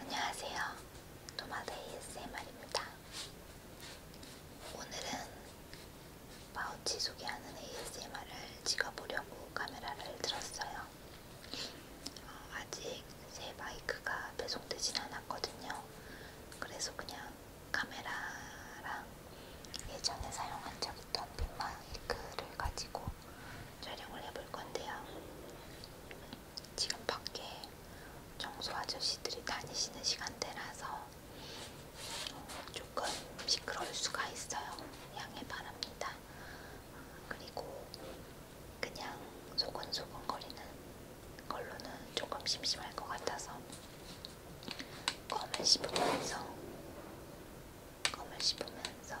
안녕하세요. 도마데 ASMR입니다. 오늘은 파우치 소개하는 ASMR을 찍어보려고 카메라를 들었어요. 어, 아직 새 마이크가 배송되진 않았거든요. 그래서 그냥 카메라랑 예전에 사용한 적 있던 빈 마이크를 가지고 촬영을 해볼 건데요. 지금 밖에 청소 아저씨들이 다니시는 시간대라서 조금 시끄러울 수가 있어요. 양해 바랍니다. 그리고 그냥 소곤소곤 거리는 걸로는 조금 심심할 것 같아서 껌을 씹으면서 껌을 씹으면서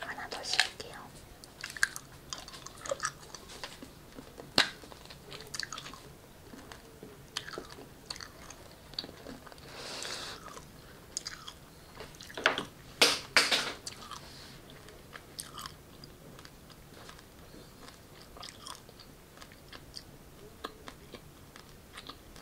하나 더 씌울게요.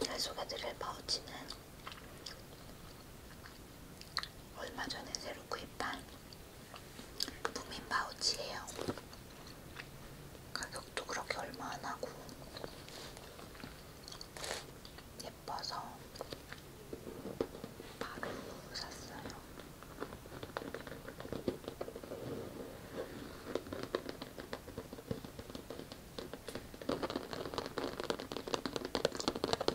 오늘 소개드릴 파우치는 얼마 전에 새로 구입한 무민 바우치예요. 가격도 그렇게 얼마 안 하고 예뻐서 바로 샀어요.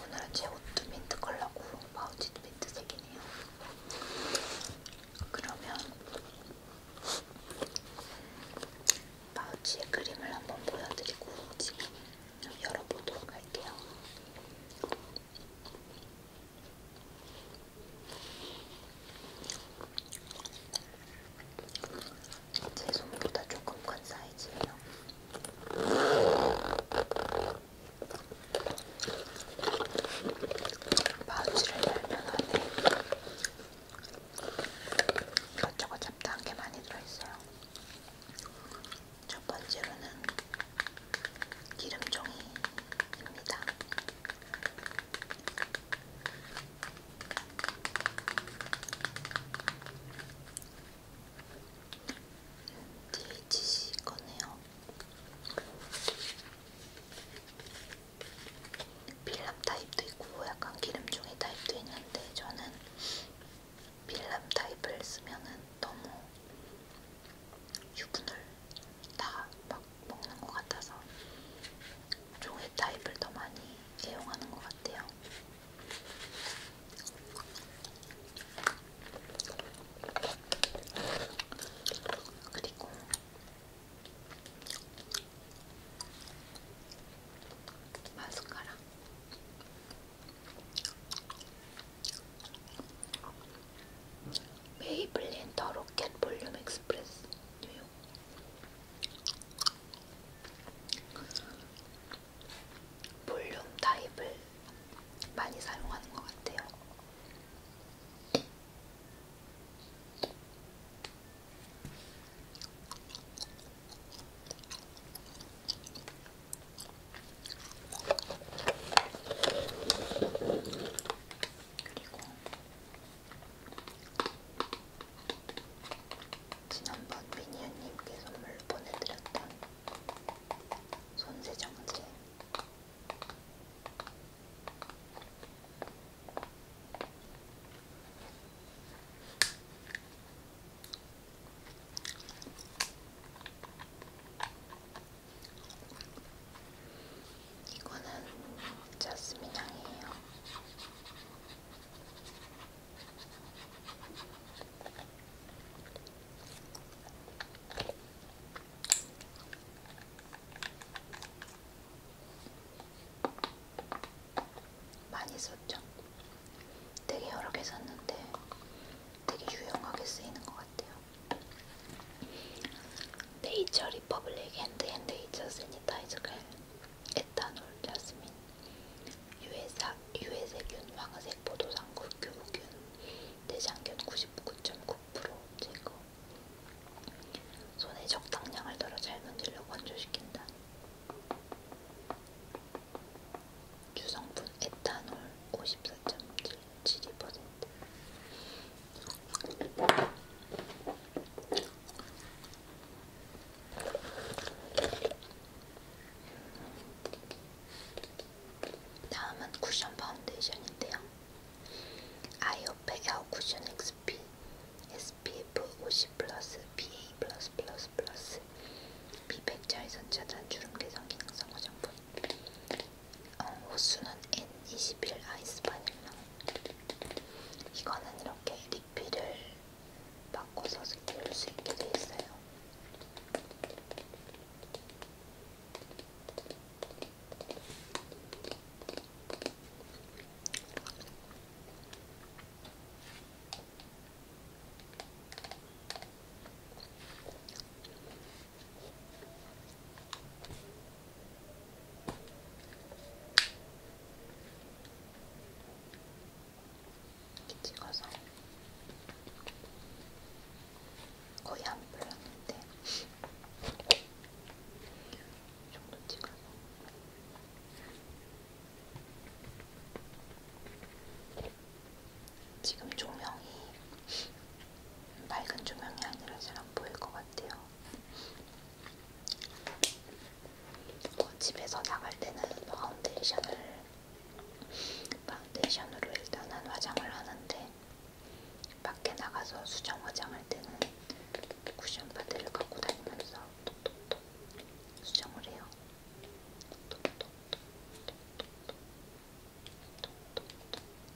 오늘은 제 옷도 민트 컬러고 파우치도 민트색이네요. 그러면 파우치의 그림을 한번 보여드리고 지금 열어보도록 할게요. 제 손보다 조금 큰 사이즈예요. 파우치를 열면 안에 이것저것 잡다한 게 많이 들어있어요. 첫 번째로는 기름종이입니다. DHC 거네요. 빌람 타입도 있고 약간 기름종이 타입도 있는데 저는 빌람 타입을 쓰면은 너무 유분을 다막 먹는 것 같아서 종이 타입을 더 많이 애용하는 것 같아요. 그리고 마스카라. 메이블린 더 로켓 볼륨 엑스프레스 뉴욕 볼륨 타입을 많이 사용하는 것 같아요. 그리고 지난번 미니언님께 선물로 보내드렸던 손세정제 이거는 자스민 향이에요. 많이 썼죠? 되게 여러 개 샀는데 되게 유용하게 쓰이는 것 같아요. 네이처 리퍼블릭 핸드앤네이처 세니타이즈겔 에탄올 자스민 유해사, 유해세균 황색 포도당구 교균 대장균 99.9% 제거 손에 적당량을 덜어 잘 문질러 건조시킨다 주성분 에탄올 54.7 72% 다음은 쿠션 파운데이션인데요. 아이오페 에어 쿠션 XP SPF 50 플러스 BA 플러스 플러스 플러스 비백자외선 차단 주름 개선 기능성 화장품 어, 호수는 N21 아이스 바닐라. 이거는 이렇게 리필을 바꿔서 끼울 수 있게 돼 있어요. 이렇게 찍어서 거의 안 불렀는데 이 정도 찍어서 지금 조명이 맑은 조명이 아니라 잘 안 보일 것 같아요. 뭐 집에서 나갈 때는 파운데이션을 파운데이션으로 일단은 화장을 하는데 밖에 나가서 수정 화장할 때는 쿠션 파데를 갖고 다니면서 톡톡톡 수정을 해요. 톡톡톡 톡톡톡 톡톡톡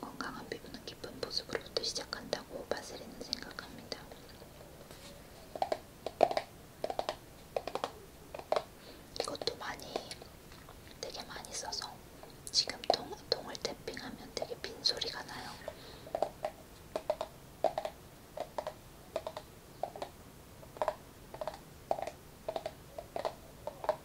건강한 피부는 깊은 보습으로부터 시작한다고 바세린은 생각합니다. 이것도 많이 되게 많이 써서 지금 통, 통을 탭핑하면 되게 빈소리가 나요.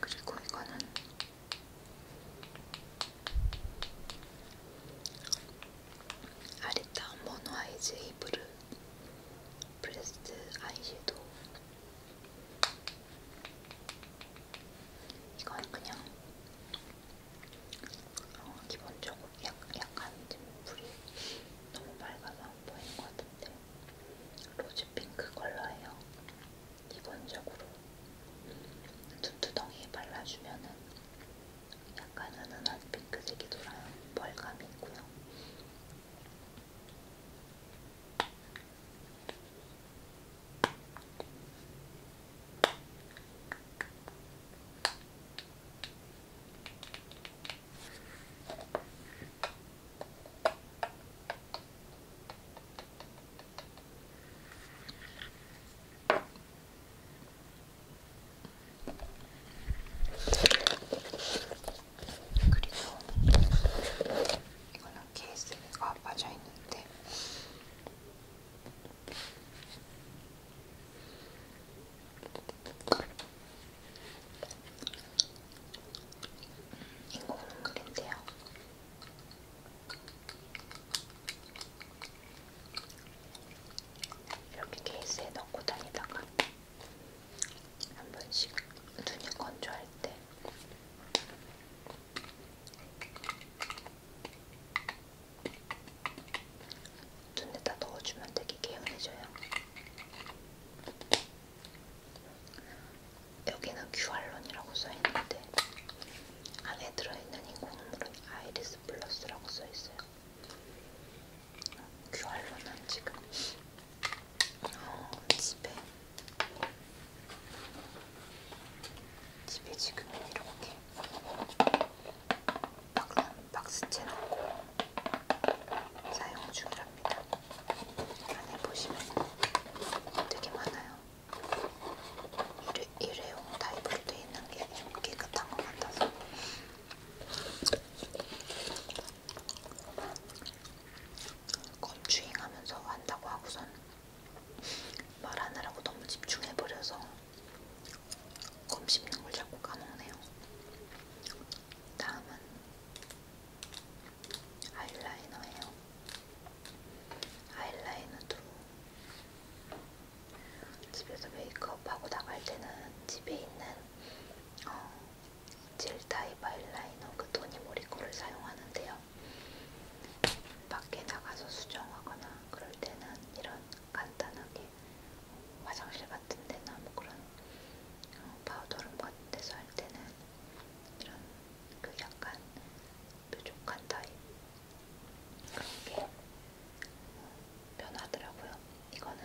그리고 이거는 아리타 모노아이즈 이브르 브레스트 아이섀도우 이건 그냥 어, 기본적으로 약, 약간 좀 물이 너무 밝아서 안 보이는 것 같은데 로즈 핑크 컬러예요. 기본적으로 눈두덩이에 발라주면은 약간 은은한 핑크색이 돌아요. 벌감이 있고요. 그리고 이거는 케이스가 빠져 있는데 인공 눈물인데요. 이렇게 케이스에 넣고 다니다가 한 번씩 눈이 건조할 때 눈에다 넣어주면 되게 개운해져요. 여기는 큐알론이라고 써있는데 안에 들어있는 인공물은 아이리스 플러스라고 써있어요. 큐알론은 지금 어, 집에 집에 지금 이렇게 방금 박스채 넣고 사용 중이랍니다. 안에 보시면 되게 많아요. 일회, 일회용 타입으로 되어 있는 게좀 깨끗한 것 같아서. 검추잉하면서 한다고 하고선 말하느라고 너무 집중해버려서 검 씹는 걸 자꾸 까먹네요. 다음은 아이라이너예요. 아이라이너도 집에서 메이크업하고 나갈 때는 집에 있는 어, 젤 타입 아이라이너 그 토니모리 거를 사용하는데요. 밖에 나가서 수정하거나 그럴 때는 이런 간단하게 화장실 같은 데나 뭐 그런 어, 파우더룸 같은 데서 할 때는 이런 그 약간 뾰족한 타입 그런 게 어, 변하더라고요. 이거는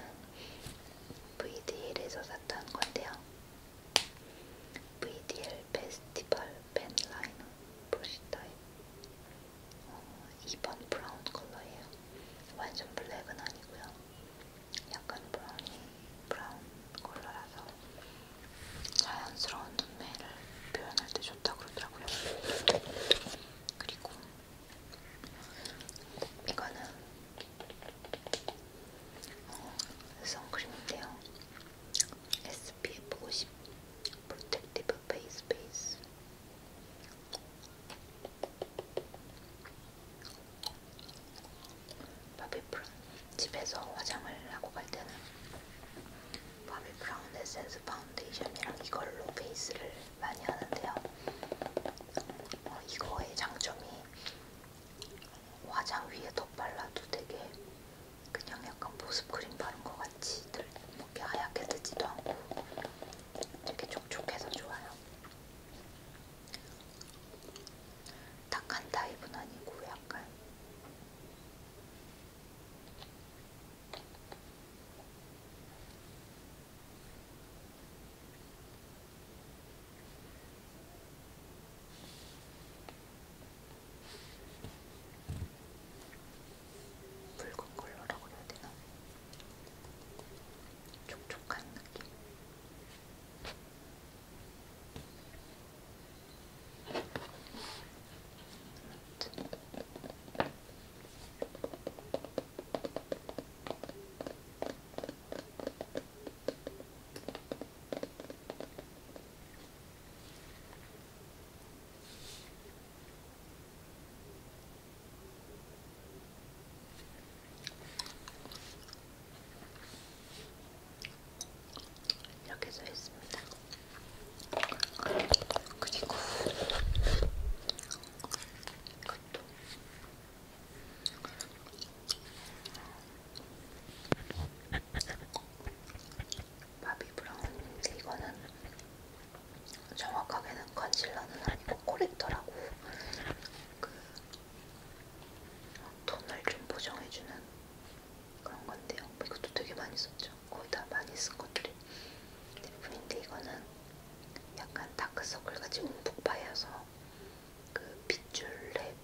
VDL에서 샀던 건데요. VDL 페스티벌 펜라이너 브러쉬 타입 어, 2번 브라운 컬러예요. 완전 블랙은 아니고요. 약간 브라운이 브라운 컬러라서 자연스러운 눈매를 표현할 때 좋다고 그러더라고요. 그리고 이거는 어, 선크림인데요. SPF 50 프로텍티브 페이스 베이스 바비브라운 집에서 화장을 하고 갈 때는 바비브라운 에센스 파운데이션이랑 이걸로 베이스를 많이 하는데요. 어, 이거의 장점이 화장 위에 덧발라도 되게 그냥 약간 보습크림 바른 것 같이 들 이렇게 뭐 하얗게 뜨지도 않고 되게 촉촉해서 좋아요. 탁한 타입은 아니고 약간 붉은 컬러라고 해야 되나? 촉촉한 느낌. 이렇게 써 있습니다. 그리고 이것도 바비 브라운인데 이거는 정확하게는 컨실러는 아니고 코렉터라고 그 톤을 좀 보정해주는 그런 건데요. 뭐 이것도 되게 많이 썼죠. 거의 다 많이 쓴 것들이 대부분인데 이거는 약간 다크서클같이 움푹 파여서 그 빗줄에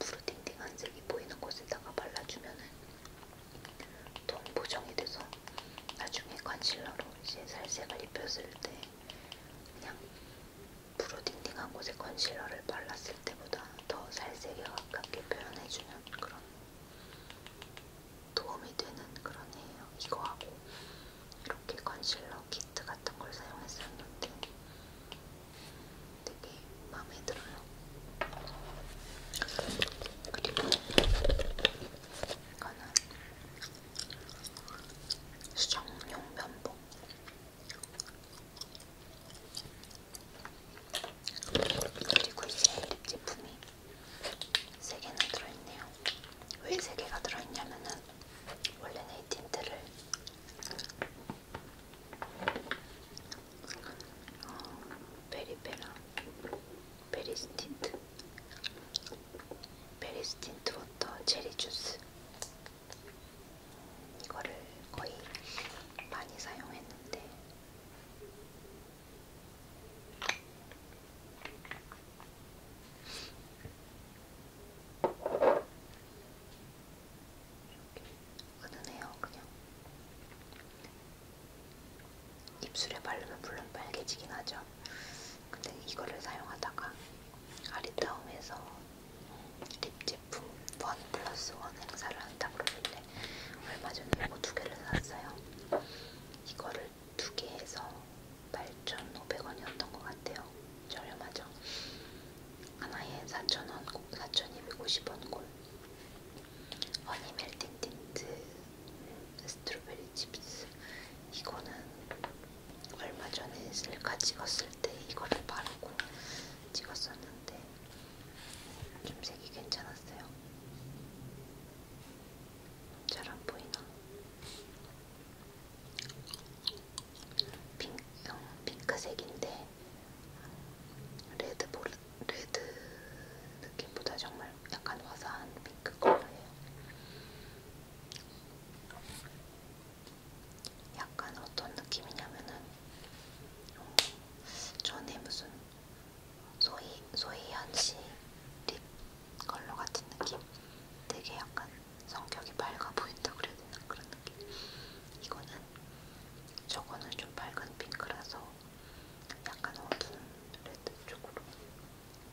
푸르딩딩한 색이 보이는 곳에다가 발라주면은 톤 보정이 돼서 나중에 컨실러로 이제 살색을 입혔을 때 그냥 브로딩딩한 곳에 컨실러를 발랐을 때보다 더 살색에 가깝게 표현해주는 그런 도움이 되는 그런 해요. 이거하고 이렇게 컨실러 키트 같은 걸 사용했었는데 되게 마음에 들어요. 그리고 이거는 수정용 면봉 그리고 이제 립 제품이 3개나 들어있네요 왜 3개가 들어있냐면은 원래는 이 틴트를 어, 베리베라 베리스 틴트 베리스틴트 워터 체리 주스 이거를 거의 많이 사용했는데 은은해요 그냥 입술에 바르면 물론 빨개지긴 하죠. 근데 이거를 사용하다가 아리따움에서 립 제품 원 플러스 원 행사를 한다 그러길래 얼마 전에 이거 두 개를 샀어요. 이거를 두 개 해서 8,500원이었던 것 같아요. 저렴하죠? 하나에 4,000원, 4,250원 꼴. 허니 멜팅 틴트 스트로베리 칩스. 이거는 얼마 전에 셀카 찍었을 때 이거를 바르고 찍었었는데 좀 색이 괜찮았어요. 잘 안 보이나? 핑, 어, 핑크색인데 레드 볼, 레드 느낌보다 정말 약간 화사한 핑크 컬러예요. 약간 어떤 느낌이냐면은 어, 전에 무슨 소희 소희연 씨립 컬러 같은 느낌? 되게 약간 성격이 밝아 보인다 그래야 되나 그런 느낌. 이거는 저거는 좀 밝은 핑크라서 약간 어두운 레드 쪽으로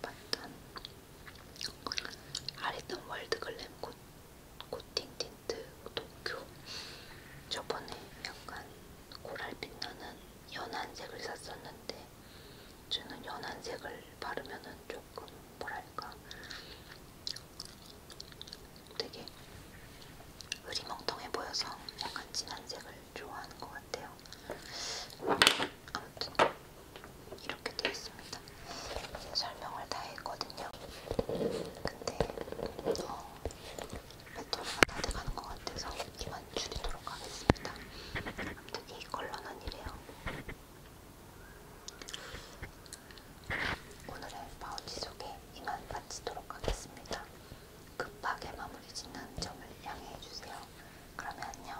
봤던 아리톤 월드 글램 코, 코팅 틴트 도쿄 저번에 약간 코랄빛 나는 연한색을 샀었는데 저는 연한색을 바르면은 조금 뭐랄까 되게 의리멍텅해 보여서 약간 진한 색을 좋아하는 것 같아요. 아무튼 이렇게 되어 있습니다. 설명을 다 했거든요. 근데 어, 배터리가 다 돼가는 것 같아서 이만 줄이도록 하겠습니다. 아무튼 이 컬러는 이래요. 오늘의 파우치 소개 이만 마치도록 하겠습니다. 급하게 마무리 짓는 점을 양해해주세요. 그러면 안녕.